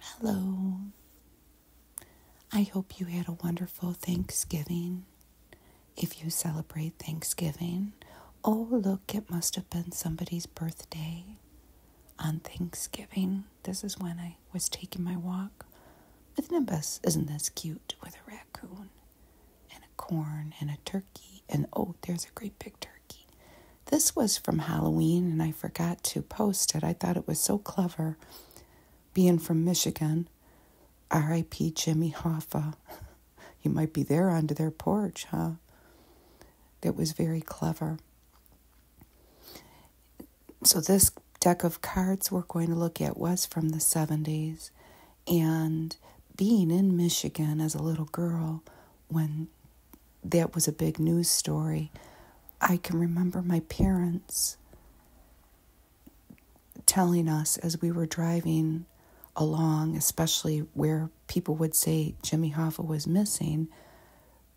Hello. I hope you had a wonderful Thanksgiving. If you celebrate Thanksgiving, oh, look, it must have been somebody's birthday on Thanksgiving. This is when I was taking my walk with Nimbus. Isn't this cute? With a raccoon and a corn and a turkey. And oh, there's a great big turkey. This was from Halloween, and I forgot to post it. I thought it was so clever, being from Michigan. R.I.P. Jimmy Hoffa. he might be there under their porch, huh? That was very clever. So, this deck of cards we're going to look at was from the 70s. And being in Michigan as a little girl, when that was a big news story. I can remember my parents telling us as we were driving along, especially where people would say Jimmy Hoffa was missing,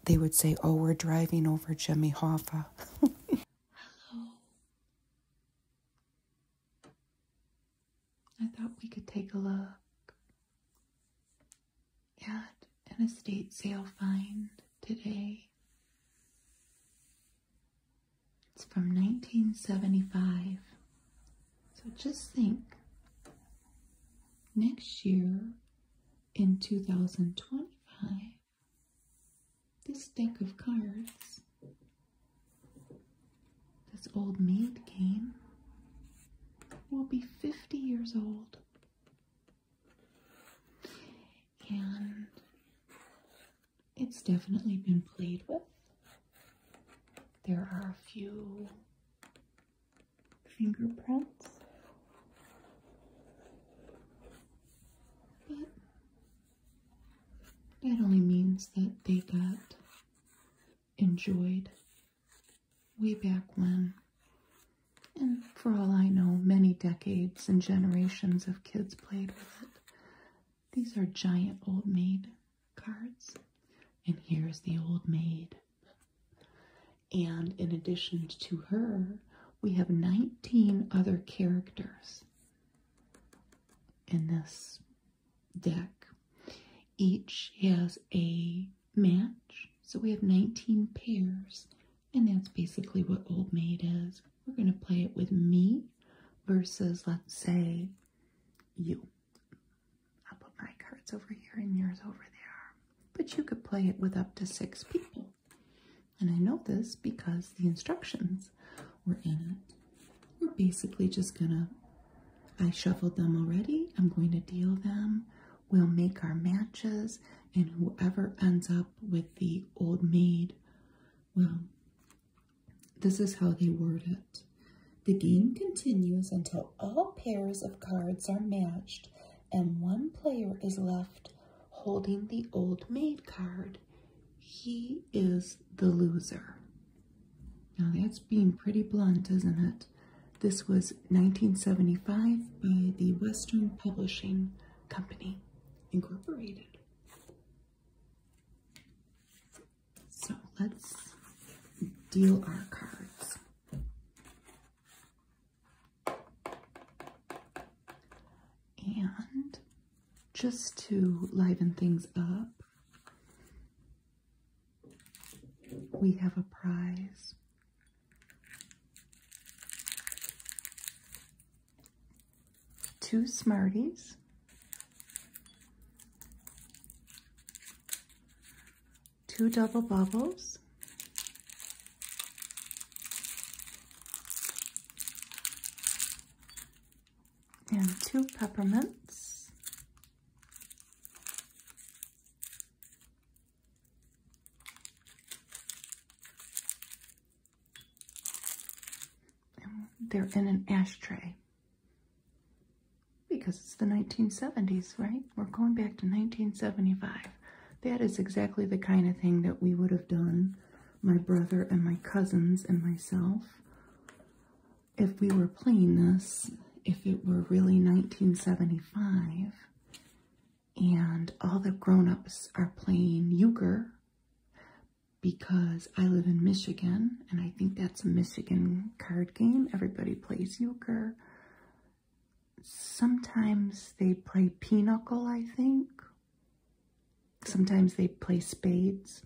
they would say, Oh, we're driving over Jimmy Hoffa. Hello. I thought we could take a look at an estate sale find today. It's from 1975. So just think next year in 2025, this deck of cards, this old maid game, will be 50 years old and it's definitely been played with. There are a few fingerprints, but that only means that they got enjoyed way back when. And for all I know, many decades and generations of kids played with it. These are giant old maid cards. And here's the old maid. And in addition to her, we have 19 other characters in this deck. Each has a match. So we have 19 pairs, and that's basically what Old Maid is. We're going to play it with me versus, let's say, you. I'll put my cards over here and yours over there. But you could play it with up to six people. And I know this because the instructions were in it. We're basically just going to I shuffled them already. I'm going to deal them. We'll make our matches and whoever ends up with the old maid, well, this is how they word it. The game continues until all pairs of cards are matched and one player is left holding the old maid card. He is the loser. Now that's being pretty blunt, isn't it? This was 1975 by the Western Publishing Company, Incorporated. So let's deal our cards. And just to liven things up, we have a prize two Smarties, two double bubbles, and two peppermints, they're in an ashtray because it's the 1970s, right? We're going back to 1975. That is exactly the kind of thing that we would have done, my brother and my cousins and myself, if we were playing this, if it were really 1975 and all the grown-ups are playing euchre because I live in Michigan and I think that's a Michigan card game. Everybody plays euchre. Sometimes they play pinochle, I think. Sometimes they play spades.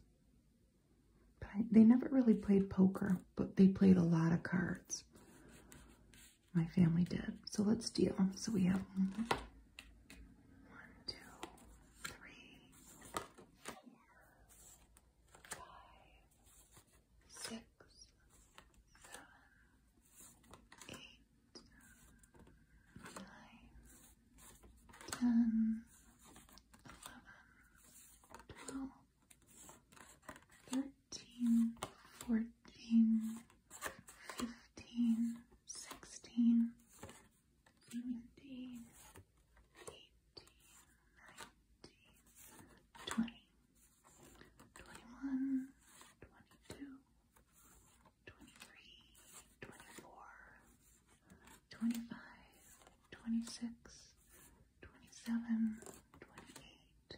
they never really played poker, but they played a lot of cards my family did. So let's deal. So we have one, two, three, four, five, six, seven, eight, nine, ten, eleven, twelve, thirteen. 14, 15, 16, 17, 18, 19, 20, 21, 22, 23, 24, 25, 26, 27, 28,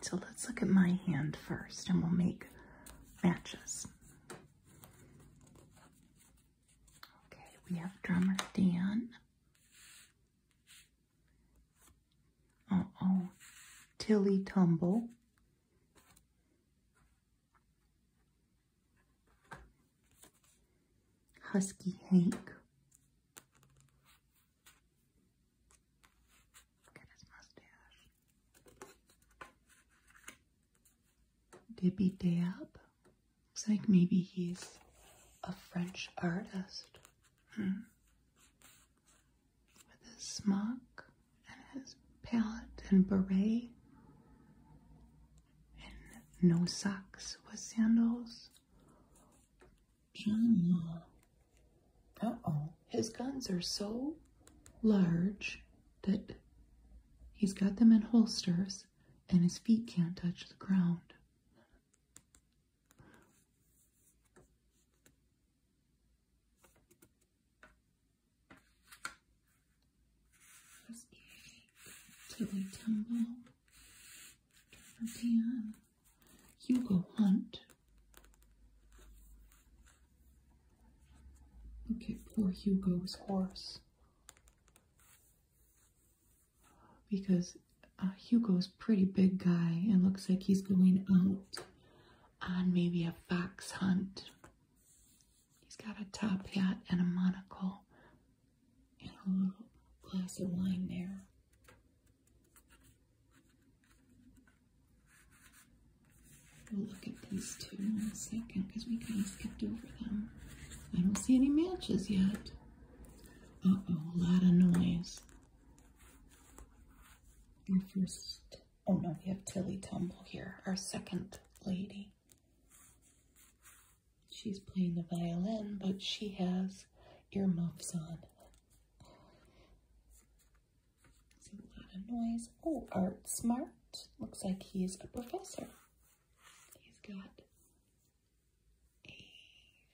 So let's look at my hand first and we'll make matches. Okay, we have drummer Dan. Uh oh, Tilly Tumble. Husky Hank. Dippy Dab. Looks like maybe he's a French artist. Hmm. With his smock and his palette and beret. And no socks with sandals. Johnny. Uh-oh. His guns are so large that he's got them in holsters and his feet can't touch the ground. Tilly Timble, Trevor Hugo Hunt, Look at poor Hugo's horse. Because uh, Hugo's pretty big guy and looks like he's going out on maybe a fox hunt. He's got a top hat and a monocle and a little glass of wine there. We'll look at these two in a second because we kind of skipped over them. I don't see any matches yet. Uh oh, a lot of noise. Our first, oh no, we have Tilly Tumble here, our second lady. She's playing the violin, but she has earmuffs on. It's a lot of noise. Oh, Art Smart. Looks like he's a professor. He's got a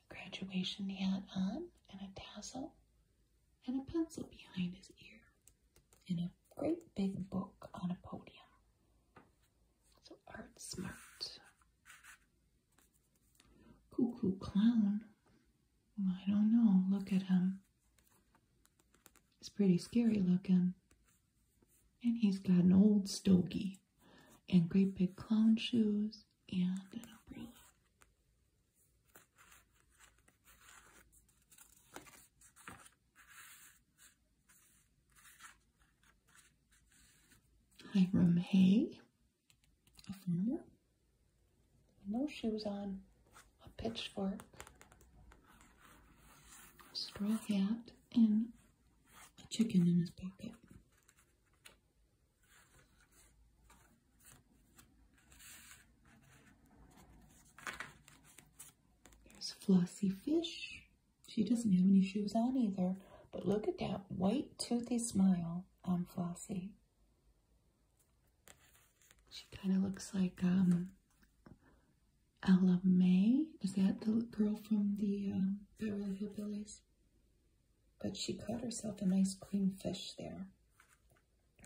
graduation hat on and a tassel and a pencil behind his ear and a great big book on a podium. So Art Smart. Cuckoo Clown. I don't know. Look at him. It's pretty scary looking. And he's got an old stogie and great big clown shoes and an umbrella. Hiram Hay, no shoes on, a pitchfork, a straw hat, and a chicken in his pocket. There's Flossie Fish. She doesn't have any shoes on either, but look at that white toothy smile on Flossie. She kind of looks like um, Ella May. Is that the girl from the um, Beverly Hillbillies? But she caught herself a nice clean fish there.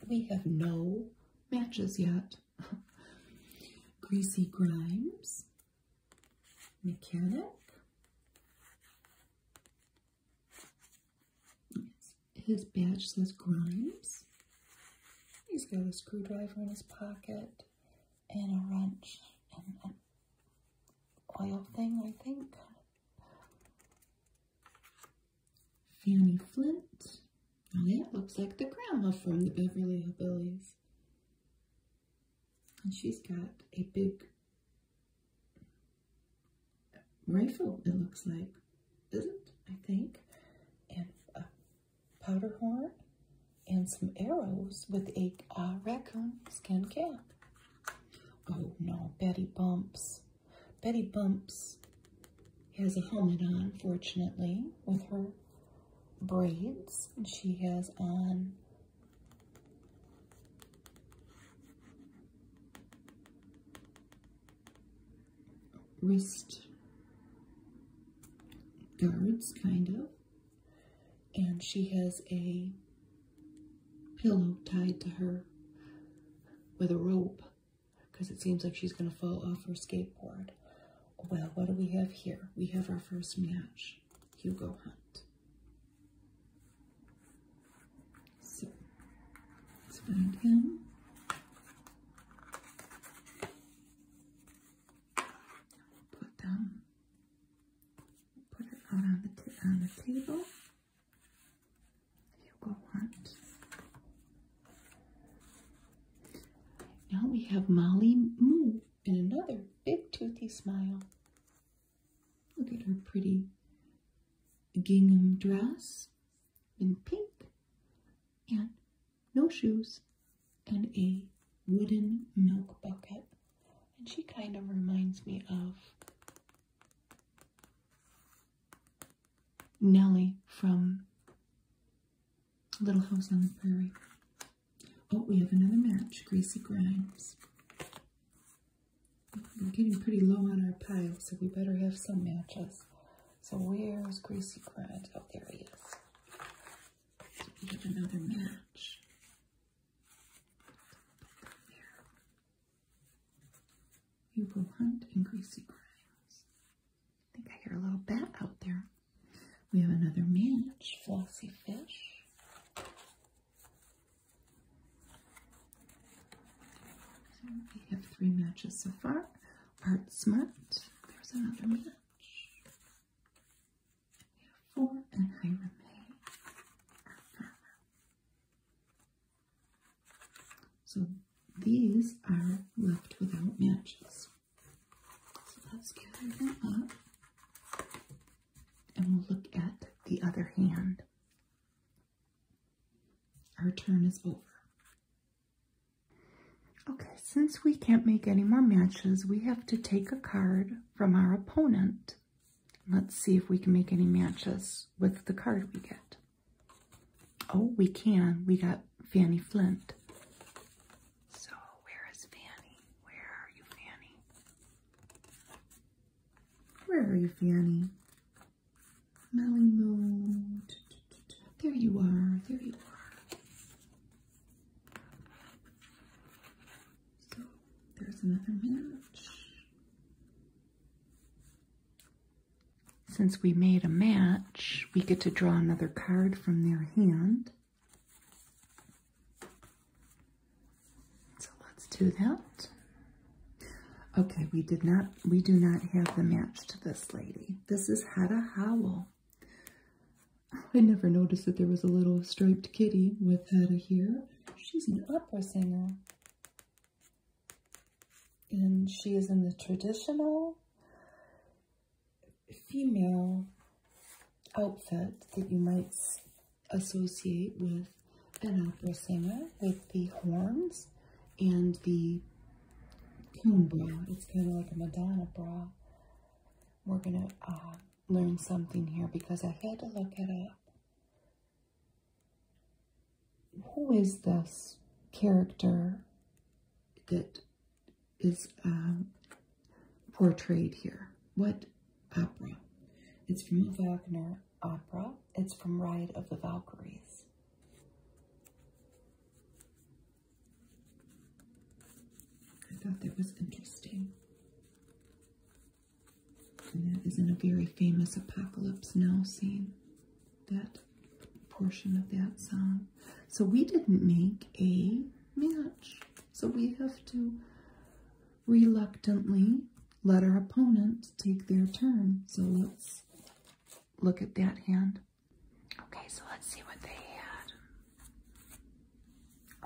We have no matches yet. Greasy Grimes, Mechanic, his badge says Grimes. He's got a screwdriver in his pocket and a wrench and an oil thing, I think. Fanny Flint. Oh, yeah, looks like the grandma from the Beverly Hillbillies. And she's got a big rifle, it looks like, is it? I think. And a powder horn and some arrows with a raccoon skin cap. Oh no, Betty Bumps. Betty Bumps has a helmet on, fortunately, with her braids. And she has on wrist guards, kind of. And she has a pillow tied to her with a rope because it seems like she's going to fall off her skateboard. Well, what do we have here? We have our first match, Hugo Hunt. So, let's find him. Put them, put it out on the, on the table you go want. Now we have Molly Moo in another big toothy smile. Look at her pretty gingham dress in pink and no shoes and a wooden milk bucket. And she kind of reminds me of Nellie from Little House on the Prairie. Oh, we have another match, Gracie Grimes. We're getting pretty low on our pile, so we better have some matches. So where's Gracie Grimes? Oh, there he is. We get another match. Hugo Hunt and Gracie Grimes. I think I hear a little bat out there. We have another match, Flossy Fish. We have three matches so far. Art Smart. There's another match. We have four and Hiram Hay. So these are left without matches. So let's gather them up and we'll look at the other hand. Our turn is over. Okay, since we can't make any more matches, we have to take a card from our opponent. Let's see if we can make any matches with the card we get. Oh, we can. We got Fanny Flint. So, where is Fanny? Where are you, Fanny? Where are you, Fanny? Smelly There you are. There you are. So there's another match. Since we made a match, we get to draw another card from their hand. So let's do that. Okay, we did not we do not have the match to this lady. This is Hada Howell. I never noticed that there was a little striped kitty with Hada here. She's an opera singer. And she is in the traditional female outfit that you might associate with an opera singer with the horns and the coon It's kind of like a Madonna bra. We're going to uh, learn something here because I had to look it up. Who is this character that is um, portrayed here? What opera? It's from a Wagner opera. It's from Ride of the Valkyries. I thought that was interesting. And that is in a very famous Apocalypse Now scene, that portion of that song. So we didn't make a match. So we have to reluctantly let our opponent take their turn. So let's look at that hand. Okay, so let's see what they had.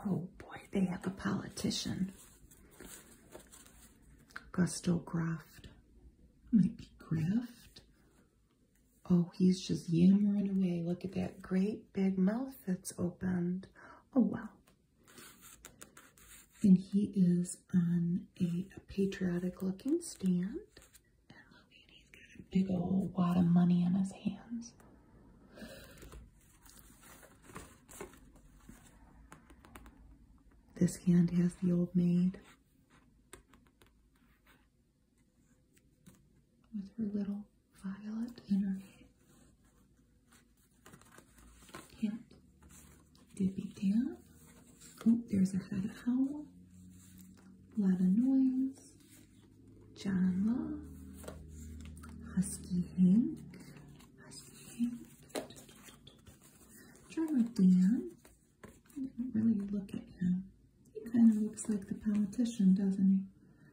Oh boy, they have a politician. Gusto Graft. Might be Graft. Oh, he's just yammering away. Look at that great big mouth that's opened. Oh, wow. And he is on a patriotic looking stand. And look at he's got a big old wad of money in his hands. This hand has the old maid with her little violet in her hand. Dippy down. Oh, there's a head owl lot of noise, Java, Husky Hank, Husky Hank, drummer Dan. I didn't really look at him. He kind of looks like the politician, doesn't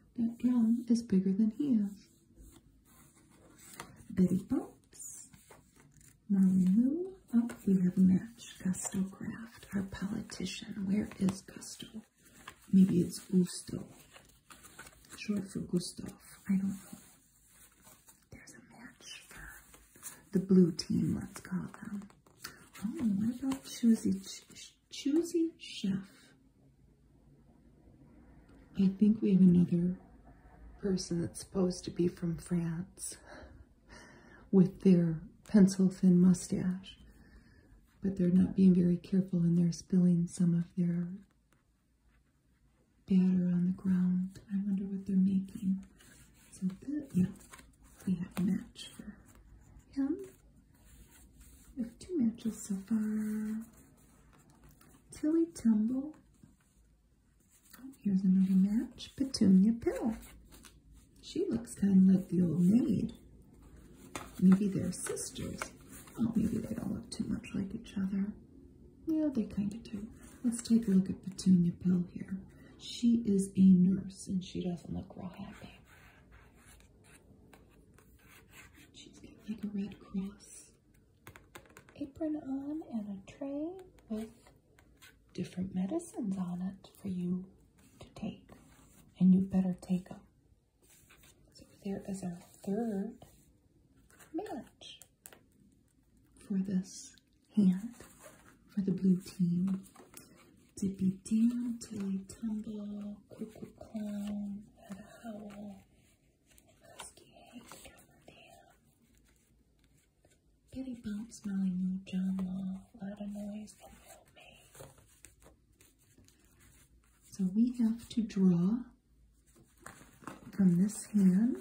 he? That drum is bigger than he is. Betty Bumps, Molly Oh, you have a match. Gusto Craft, our politician. Where is Gusto? Maybe it's Gusto. Short for Gustav. I don't know. There's a match for the blue team, let's call them. Oh, what about Choosy, Ch Choosy Chef? I think we have another person that's supposed to be from France with their pencil thin mustache, but they're not being very careful and they're spilling some of their batter on the ground. I wonder what they're making. So that, yeah, we have a match for him. We have two matches so far. Tilly Tumble. Oh, here's another match. Petunia Pill. She looks kind of like the old maid. Maybe they're sisters. Oh, maybe they don't look too much like each other. Yeah, they kind of do. Let's take a look at Petunia Pill here. She is a nurse, and she doesn't look real happy. She's got like a red cross. Apron on and a tray with different medicines on it for you to take, and you better take them. So there is our third match for this hand, for the blue team. Dippy Doo, Tilly Tumble, Cuckoo Clown, a Howl, Husky Hank, Cameron Bitty bumps, Molly Moo, John Law, Loud of Noise, can help me. So we have to draw from this hand.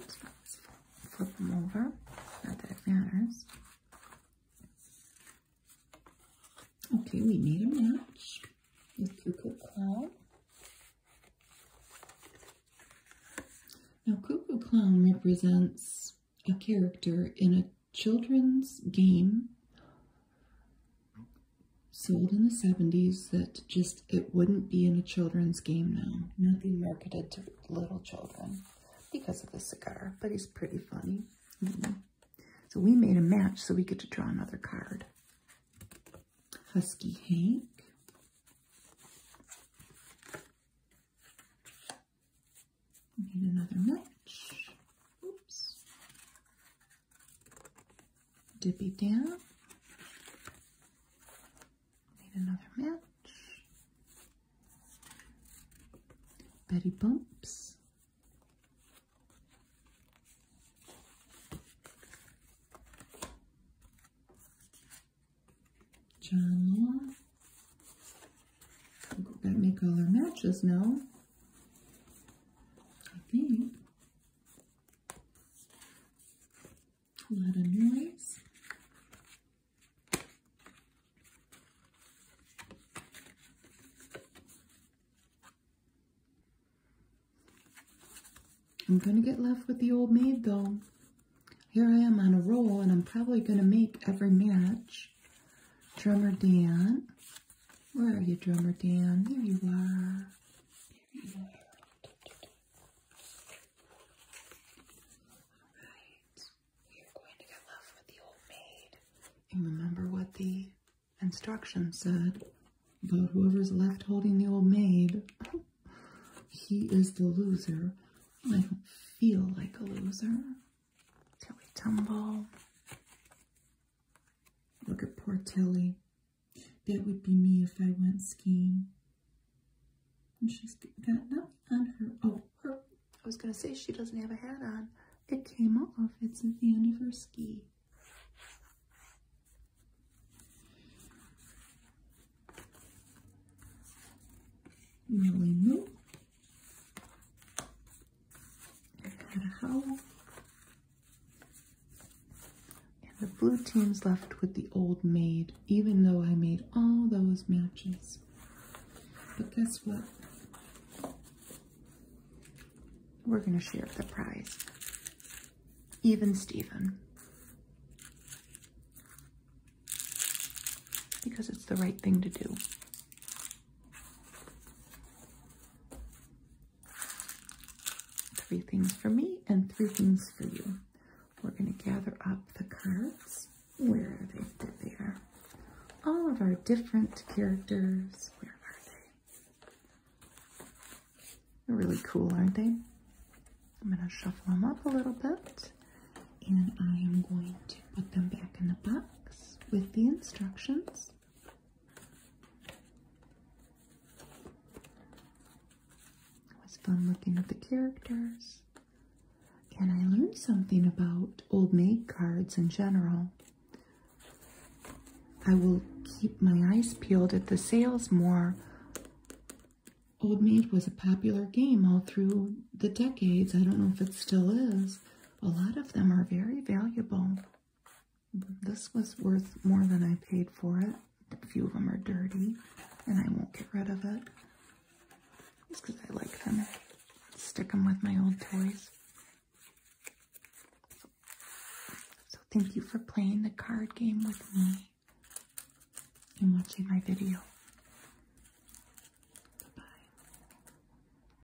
flip them over. Not that matters. Okay, we made a match with Cuckoo Clown. Now, Cuckoo Clown represents a character in a children's game sold in the 70s that just it wouldn't be in a children's game now. Nothing marketed to little children because of the cigar, but he's pretty funny. Mm-hmm. So we made a match so we get to draw another card. Husky Hank. Need another match. Oops. Dip it down. Need another match. Betty bumps. John Go get me color matches now. I think. A lot of noise. I'm going to get left with the old maid though. Here I am on a roll and I'm probably going to make every match. Drummer Dan. Where are you, Drummer Dan? There you are. Alright. We are going to get left with the old maid. And remember what the instructions said about whoever's left holding the old maid. He is the loser. I don't feel like a loser we Tumble. Look at poor Tilly. That would be me if I went skiing. And she's got nothing on her. Oh, her. I was going to say she doesn't have a hat on. It came off. It's at the end of her ski. Millie and the blue team's left with the old maid, even though I made all those matches. But guess what? We're going to share the prize. Even Steven. Because it's the right thing to do. Three things for me and three things for you. We're going to gather up the cards. Where are they? There they are. All of our different characters. Where are they? They're really cool, aren't they? I'm going to shuffle them up a little bit. And I am going to put them back in the box with the instructions. It was fun looking at the characters. And I learned something about Old Maid cards in general. I will keep my eyes peeled at the sales more. Old Maid was a popular game all through the decades. I don't know if it still is a lot of them are very valuable. This was worth more than I paid for it. A few of them are dirty, and I won't get rid of it. Just because I like them. Stick them with my old toys. So thank you for playing the card game with me and watching my video. bye